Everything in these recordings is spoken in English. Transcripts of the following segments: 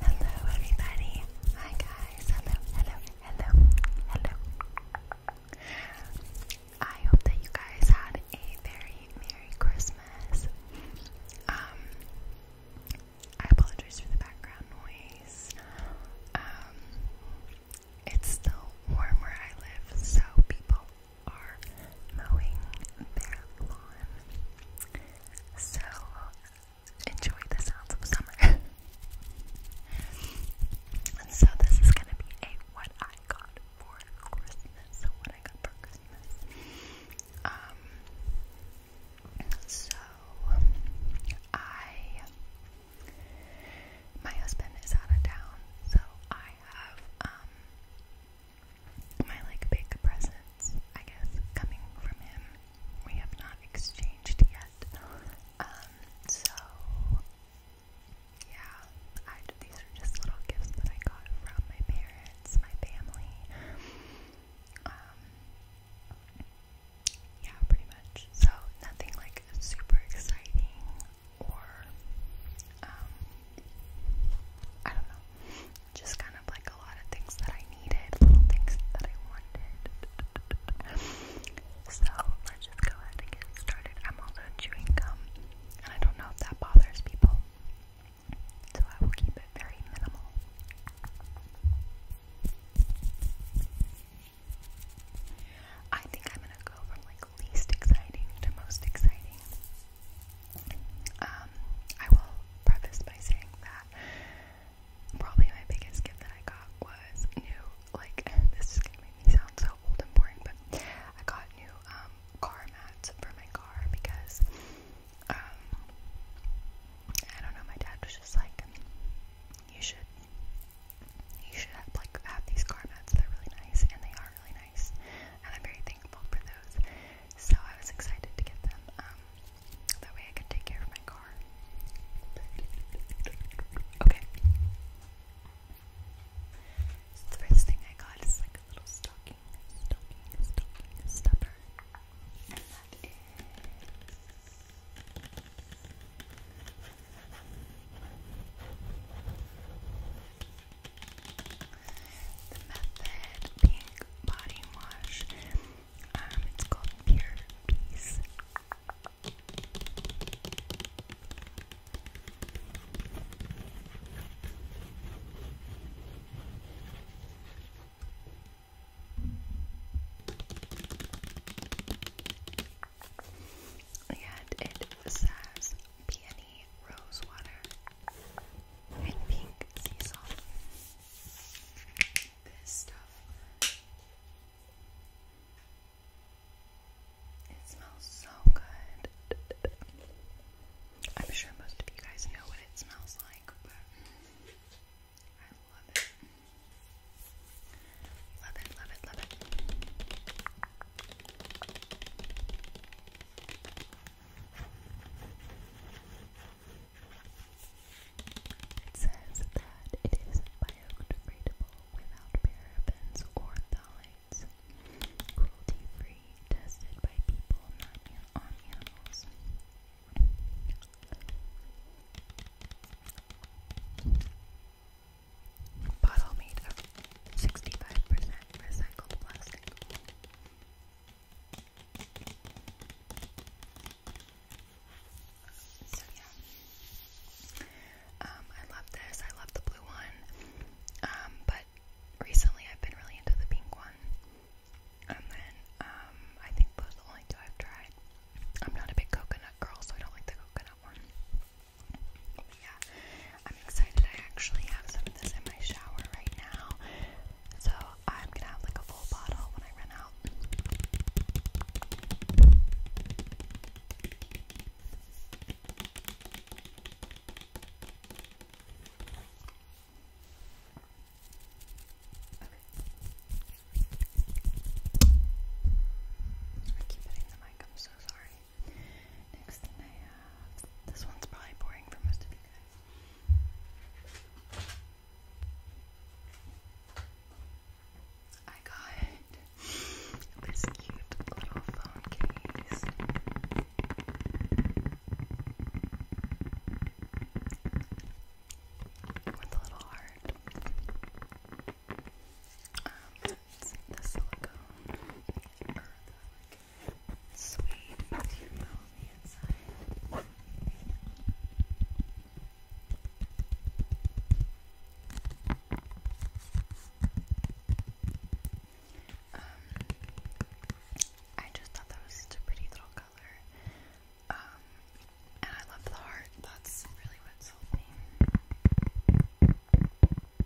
Hello everybody. Hi guys. Hello, hello, hello, hello. I hope that you guys had a very Merry Christmas. Um I apologize for the background noise. Um it's still warm where I live, so people are mowing their lawn. So enjoy the sounds of summer. and so this is gonna be a what I got for Christmas. So what I got for Christmas. Um so I my husband is out of town, so I have um my like big presents, I guess, coming from him. We have not exchanged yet. Um, so yeah, these are just little gifts that I got from my parents, my family. Um, yeah, pretty much. So nothing like super exciting or um, I don't know just kind of like a lot of things that I needed, little things that I wanted. So let's just go ahead and get started. I'm also chewing gum, and I don't know if that bothers people, so I will keep it very minimal. I think I'm gonna go from like least exciting to most exciting. Um, I will preface by saying that probably my biggest gift that I got was new, like, this is gonna make me sound so old and boring, but I got new um, car mats for my car because, um, I don't know, my dad was just like, you should, you should have, like, have these car mats, they're really nice, and they are really and I'm very thankful for those. So I was excited to get them. Um, that way I could take care of my car. Okay. the first thing I got is like a little stocking, stocking, stocking stuffer, and that is. The method pink body wash. Um, it's called Pure Peace. And it says peony rose water and pink sea This stuff. It smells so good. I'm sure most of you guys know what it smells like, but I love it. Love it, love it, love it. It says that it is biodegradable without parabens or phthalates, cruelty-free, tested by people, not on animals. Bottle made of 65% recycled plastic. So yeah, um, I love this. I love the blue one, um, but recently I've been really into the pink one. And then um, I think those the only two I've tried. I'm not a big coconut girl, so I don't like the coconut one. yeah, I'm excited. I actually have some of this in my shower right now. So I'm gonna have like a full bottle when I run out. Okay. I keep hitting the mic, I'm so sorry. Next thing I this one's probably boring for most of you guys. I got this cute little phone case. With a little heart. Um, it's silicone, sweet you feel on the inside. Um, I just thought that was such a pretty little color. Um, and I love the heart. That's really what sold me.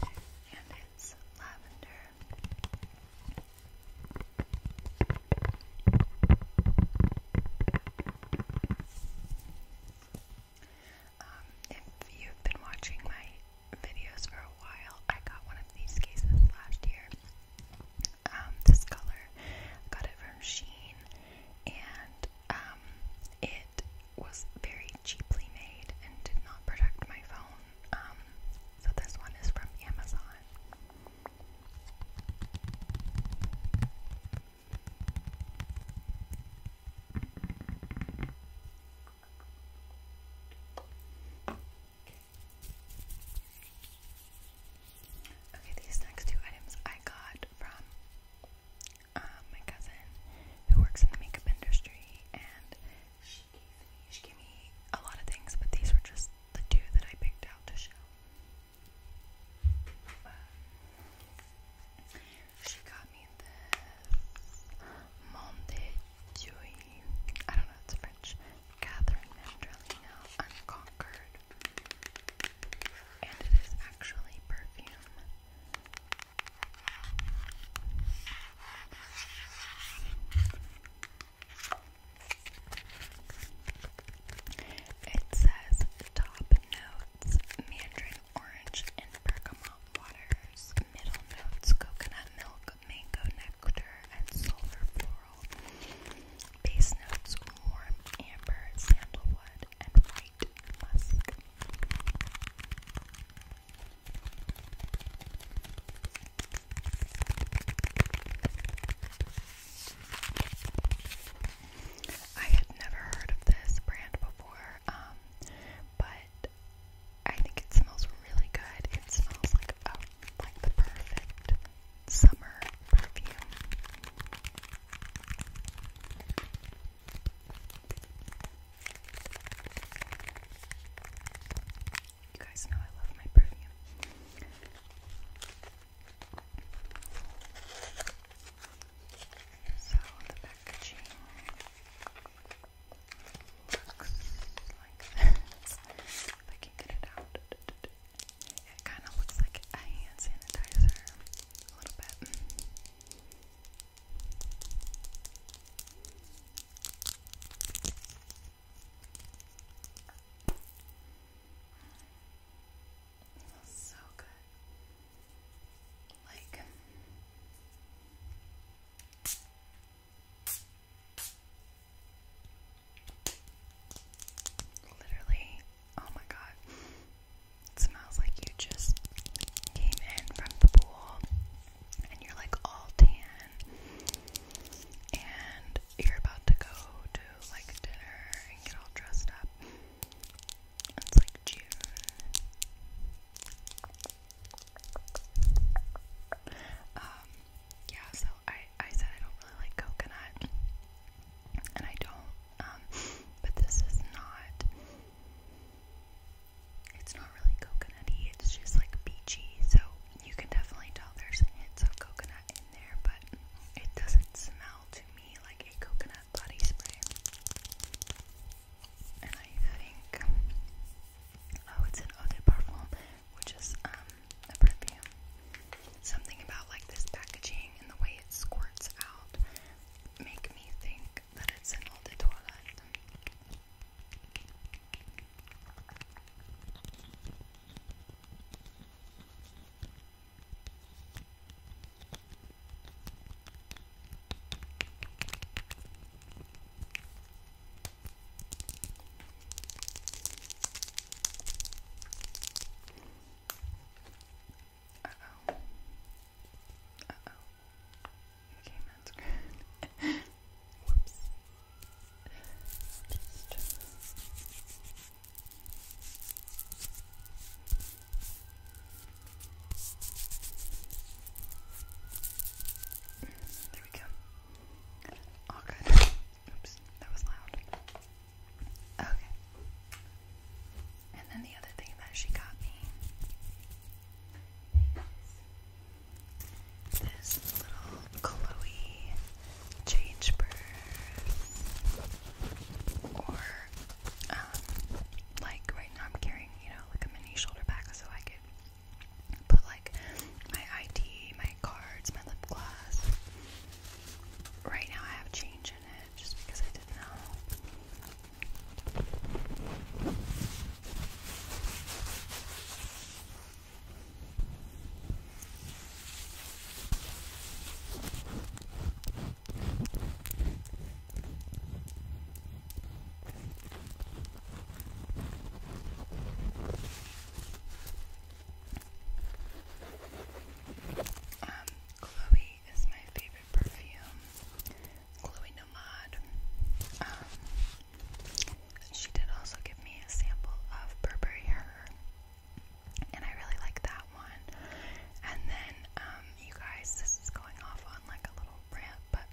And it's lavender. Um, if you've been watching my videos for a while, I got one of these cases last year. Um, this color, got it from Sheen, and um, it was very cheaply made and did not protect my phone. Um, so this one is from Amazon. Okay, these next two items I got from um, my cousin who works in the makeup industry, and she gave me she gave me a lot of things, but these were just the two that I picked out to show. Um, she got me this Monde I don't know, it's French. Catherine Mandrelina Unconquered and it is actually perfume. It says top notes mandarin orange and bergamot waters, middle notes coconut milk, mango nectar, and sulfur floral. Base notes warm amber, sandalwood, and white musk. I had never heard of this brand before, um, but I think it smells really good. It smells like a, uh, like the perfect summer perfume. You guys know I love my perfume. So the packaging looks like If I can get it out. It kind of looks like a hand sanitizer a little bit. so good. Like literally Oh my god. It smells like you just came in from the pool and you're like all tan and you're about to go to like dinner and get all dressed up. It's like June. Um, yeah, so I I said I don't really like coconut and I don't. Um, but this is not. It's not really coconutty. It's just like beachy. So you can definitely tell there's hints of coconut in there, but it doesn't smell to me like a coconut body spray. And I think oh, it's an eau de which is um a perfume. Something about like this packaging and the way it squirts out make me think that it's an eau de toilette. Uh-oh. Uh-oh. Okay, that's good. Whoops. Just... There we go. All oh, good. Oops, that was loud. Okay. And then the other thing that she got me is this little Chloe change purse. Or, um, like right now I'm carrying, you know, like a mini shoulder bag so I could put like my ID, my cards, my lip gloss, Right now I have change in it just because I didn't know. Um, Chloe is my favorite perfume. Chloe Nomad. Um, she did also give me a sample of Burberry Her, and I really like that one. And then, um, you guys, this is going off on like a little rant, but,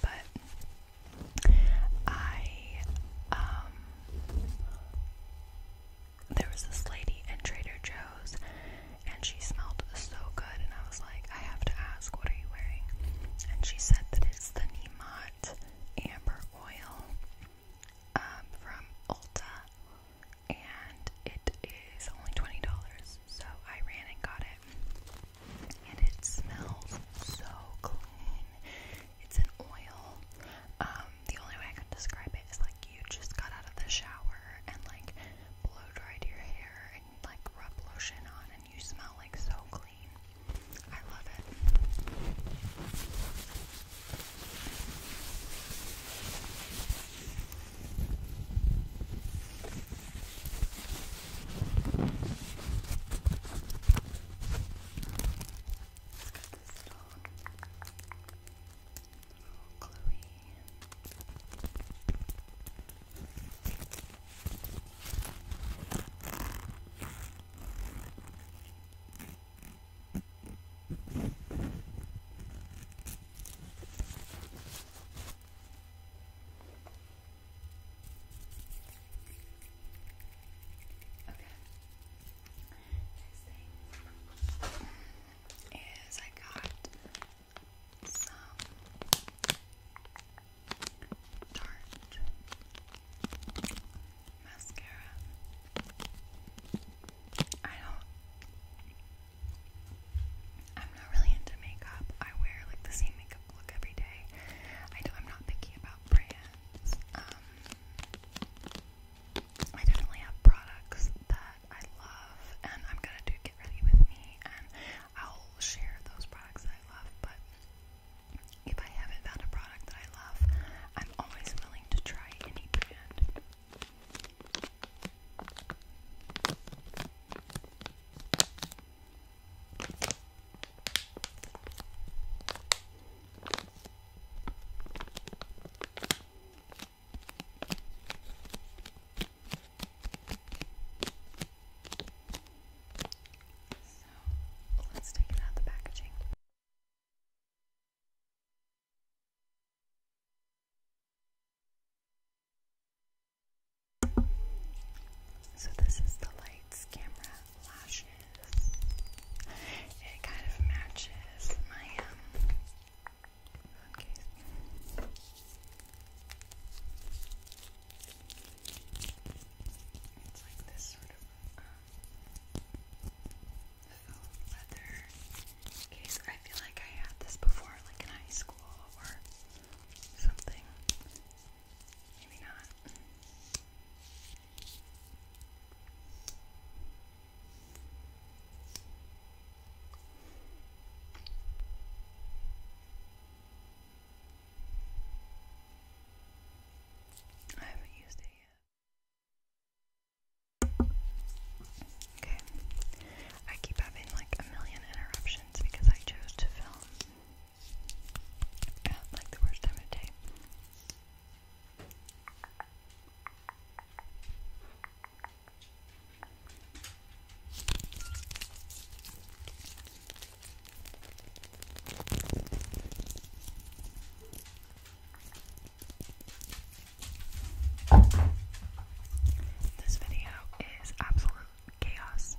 but I, um, there was this lady in Trader Joe's and she smelled so good, and I was like, I have to ask, what are you wearing? And she said that it's the Nemot Amber Oil um, from Ulta, and it is only $20, so I ran and got it. And it smells so clean. It's an oil. Um, the only way I can describe it is like you just got out of the shower and like blow dried your hair and like rub lotion on and you smell like so clean. I love it. Let's get this little, little Chloe. Okay. Next thing is I got some Tarte mascara. I don't. I'm not really into makeup. I wear like the same makeup look every day. I do, I'm not picky about brands. Um, I definitely have products that I love, and I'm gonna do Get Ready With Me, and I'll share those products I love, but if I haven't found a product that I love, I'm always willing to try any brand. So let's take out the packaging. So, this is the lights, camera, lashes, it kind of matches my um It's like this sort of um, leather case. I feel like I had this before, like in high school or something. Maybe not. I haven't used it yet. Okay. I keep having like a million interruptions because I chose to film at like the worst time of day. This video is absolute chaos.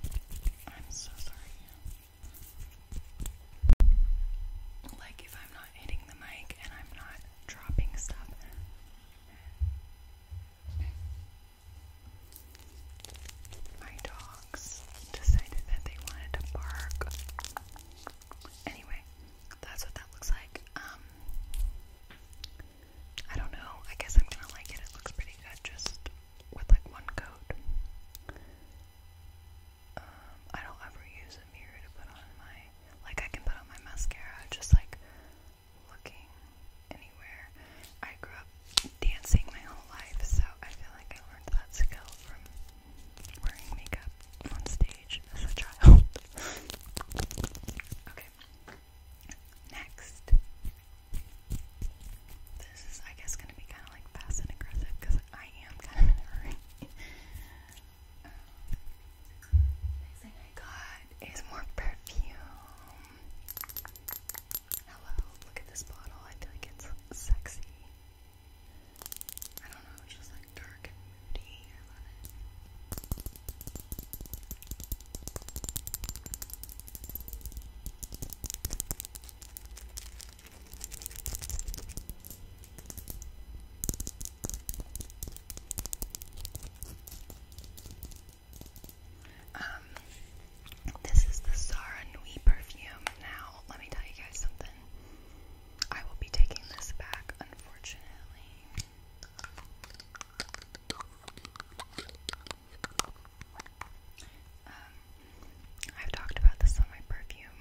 I'm so sorry. Like if I'm not hitting the mic and I'm not dropping stuff. My dogs decided that they wanted to bark. Anyway, that's what that looks like. Um I don't know. I guess I'm gonna like it. It looks pretty good just with like one code. Um, I don't ever use a mirror to put on my, like I can put on my mascara just like looking anywhere. I grew up dancing my whole life, so I feel like I learned that skill from wearing makeup on stage as a child. okay. Next, this is, I guess, gonna be kind of like fast and aggressive because I am kind of in a hurry. Um, next thing I got is more perfume. Hello, look at this bottle. I feel like it's sexy. I don't know, it's just like dark and moody. I love it. Um, this is the Zara Nui perfume. Now, let me tell you guys something. I will be taking this back, unfortunately. Um, I've talked about this on my perfume,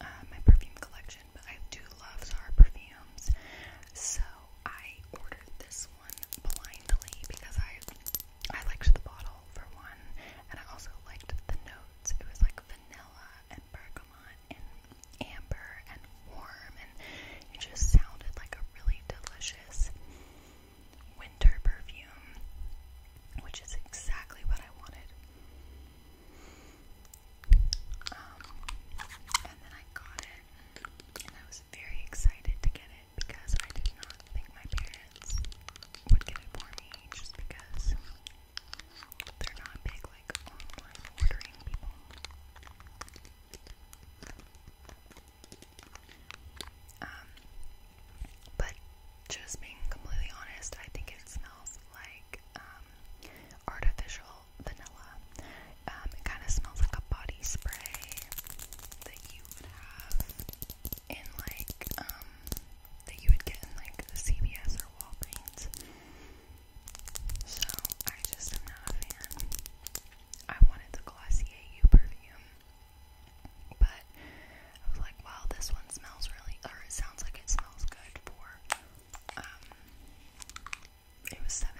uh, my perfume collection, but I do love Zara perfumes, so I ordered this one blindly because I I liked the bottle for one, and I also liked the notes. It was like vanilla and bergamot and amber and warm, and it just sounded like a really delicious winter perfume, which is exactly what I wanted. Um, and then I got it, and I was very excited to get it because I did not think my parents would get it for me just because they're not big, like online ordering people. Um, but just being completely honest, I think it smells like um, artificial vanilla. Um, it kind of smells like a body spray that you would have in like that you would get in like the CVS or Walgreens. So I just am not a fan. I wanted the Glossier U but I was like, wow, this one smells really, or it sounds like it smells good for, um, it was $17.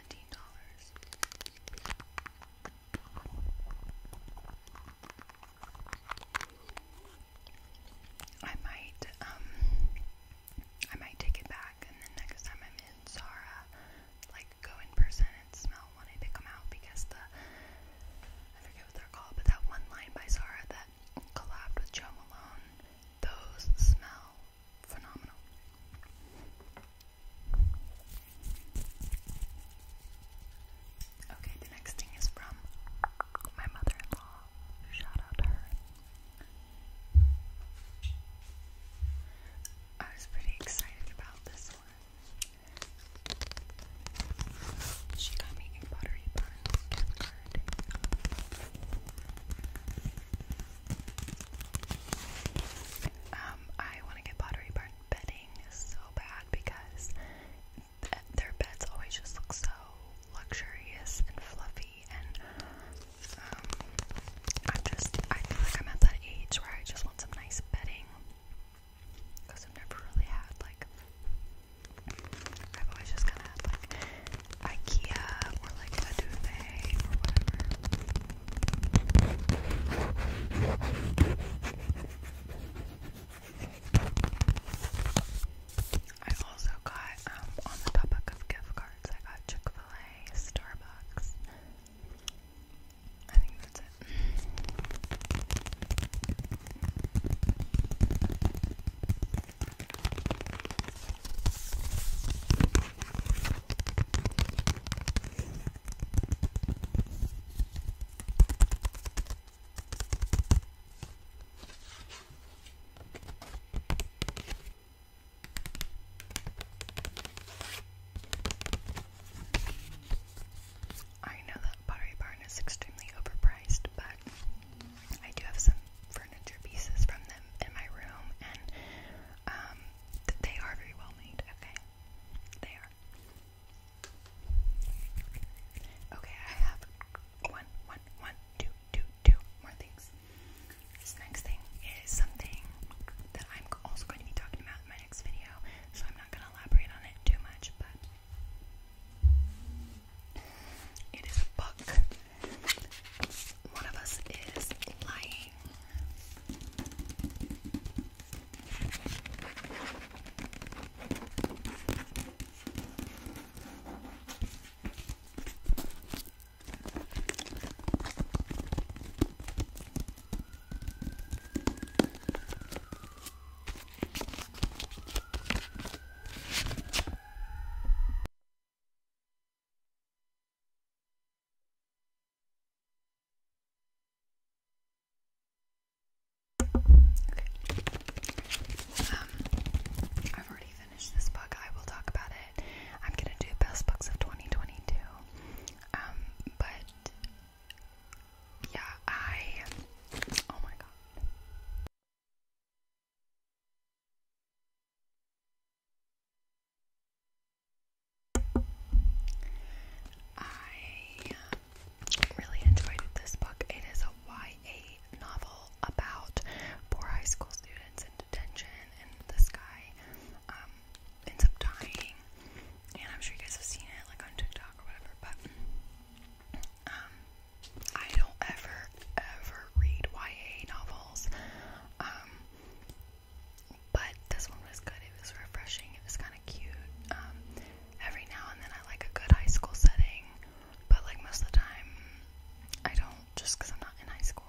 I might, um, I might take it back and then next time I'm in Zara, like go in person and smell out when I pick out because the I forget what they're called, but that one line by Zara that collabed with Joe Malone, those smell phenomenal. Okay, the next thing is from my mother-in-law. Shout out her. I was pretty excited about this one. She got me a buttery barn um, I want to get Pottery Barn bedding so bad because their beds always just look so luxurious and fluffy, and um, I'm just I feel like I'm at that age where I just want some nice bedding because I've never really had like I've always just kind of had like IKEA or like a I also got um, on the topic of gift cards, I got Chick Fil A, Starbucks. I think that's it. I know that Pottery Barn is extremely overpriced, but I do have some furniture pieces from them in my room, and um, they are very well made, okay? They are. Okay, I have one, one, one, two, two, two more things. This next thing is something that I'm also going to be talking about in my next video, so I'm not going to elaborate on it too much, but it is a book. One of us is lying. Um, I've already finished this book. I will talk about it. I'm gonna do best books of 2022. Um, but yeah, I. Oh my god. I really enjoyed this book. It is a YA novel about poor high school students in detention, and this guy um, ends up dying. And I'm sure you guys have seen it like on TikTok or whatever, but um, I don't ever ever read YA novels. Um, but this one was good. It was refreshing. It was kind of cute. Um, every now and then I like a good high school setting, but like most of the time I don't just cuz I'm not in high school.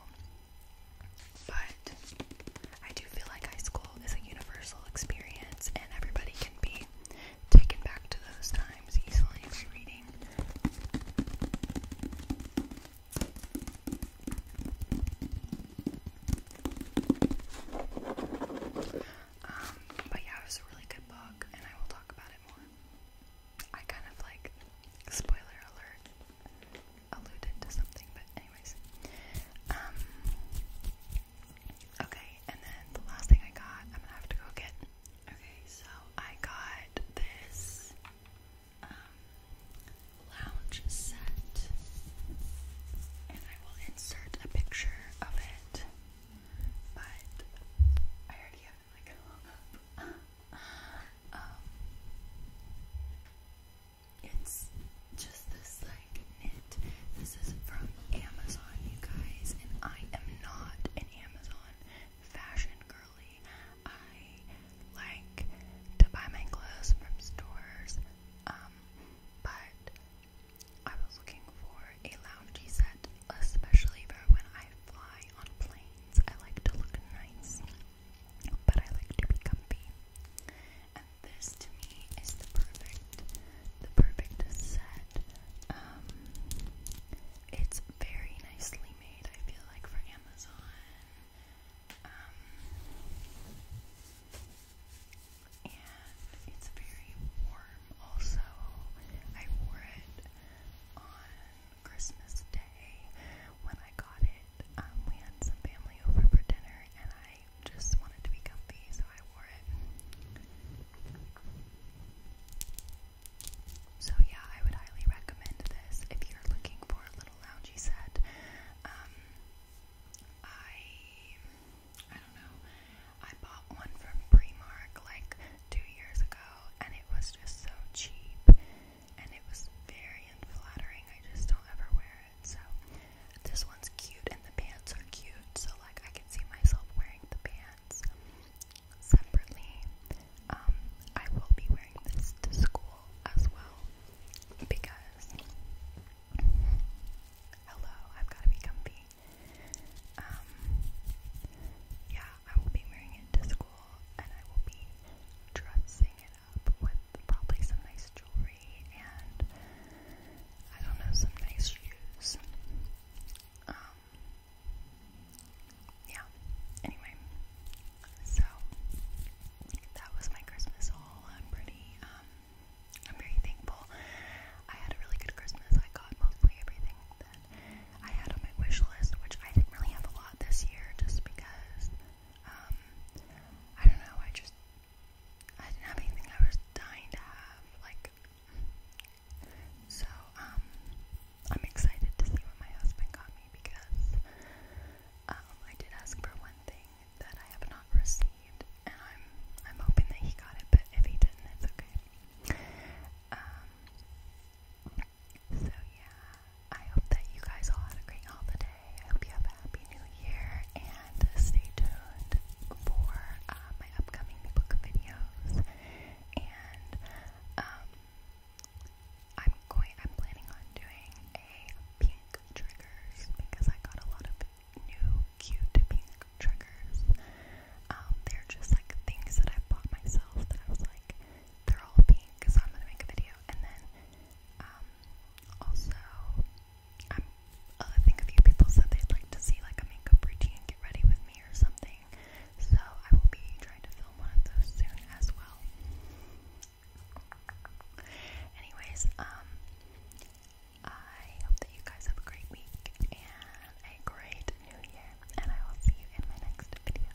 But I do feel like high school is a universal experience and everybody can be taken back to those times easily by reading. Um, but yeah, it was a really good book and I will talk about it more. I kind of like spoiler alert alluded to something, but anyways. Um, okay, and then the last thing I got, I'm gonna have to go get. Okay, so I got this um, lounge set, and I will insert a picture of it, but I already have like hung up. Um, it's just this like knit. This is from Amazon, you guys, and I am not an Amazon fashion girly. I like to buy my clothes from stores, um, but I was looking for a loungy set, especially for when I fly on planes. I like to look nice but I like to be comfy. And this to me is the perfect, the perfect set. Um, it's very nicely made. I feel like for Amazon. Um, and it's very warm. Also, I wore it on Christmas Day when I got it um, we had some family over for dinner, and I just wanted to be comfy, so I wore it. So yeah, I would highly recommend this if you're looking for a little loungy set. Um, I I don't know. I bought one from Primark like two years ago, and it was just so cheap, and it was very unflattering. I just don't ever wear so this one's cute and the pants are cute. So like I can see myself wearing the pants separately. Um, I will be wearing this to school as well because hello, I've got to be comfy. Um, yeah, I will be wearing it to school and I will be dressing it up with probably some nice jewelry and I don't know, some nice shoes. Um, yeah, anyway, so that was my Christmas haul. I'm pretty, um, I'm very thankful. I had a really good Christmas. I got mostly everything that I had on my wish list, which I didn't really have a lot this year just because um, I don't know, I just, I didn't have anything I was dying to have, like, so, um, I'm excited to see what my husband got me because, um, I did ask for one thing that I have not received, and I'm, I'm hoping that he got it, but if he didn't, it's okay. Um, so yeah, I hope that you guys all had a great holiday. I hope you have a happy new year and stay tuned for uh, my upcoming book videos. And um, I'm going. I'm planning on doing a pink triggers because I got a lot of new cute pink triggers. Um, they're just like things that I bought myself that I was like, they're all pink, so I'm gonna make a video. And then um, also, i think a few people said they'd like to see like a makeup routine, get ready with me or something. So I will be trying to film one of those soon as well. Anyways, um, I hope that you guys have a great week and a great new year, and I will see you in my next video.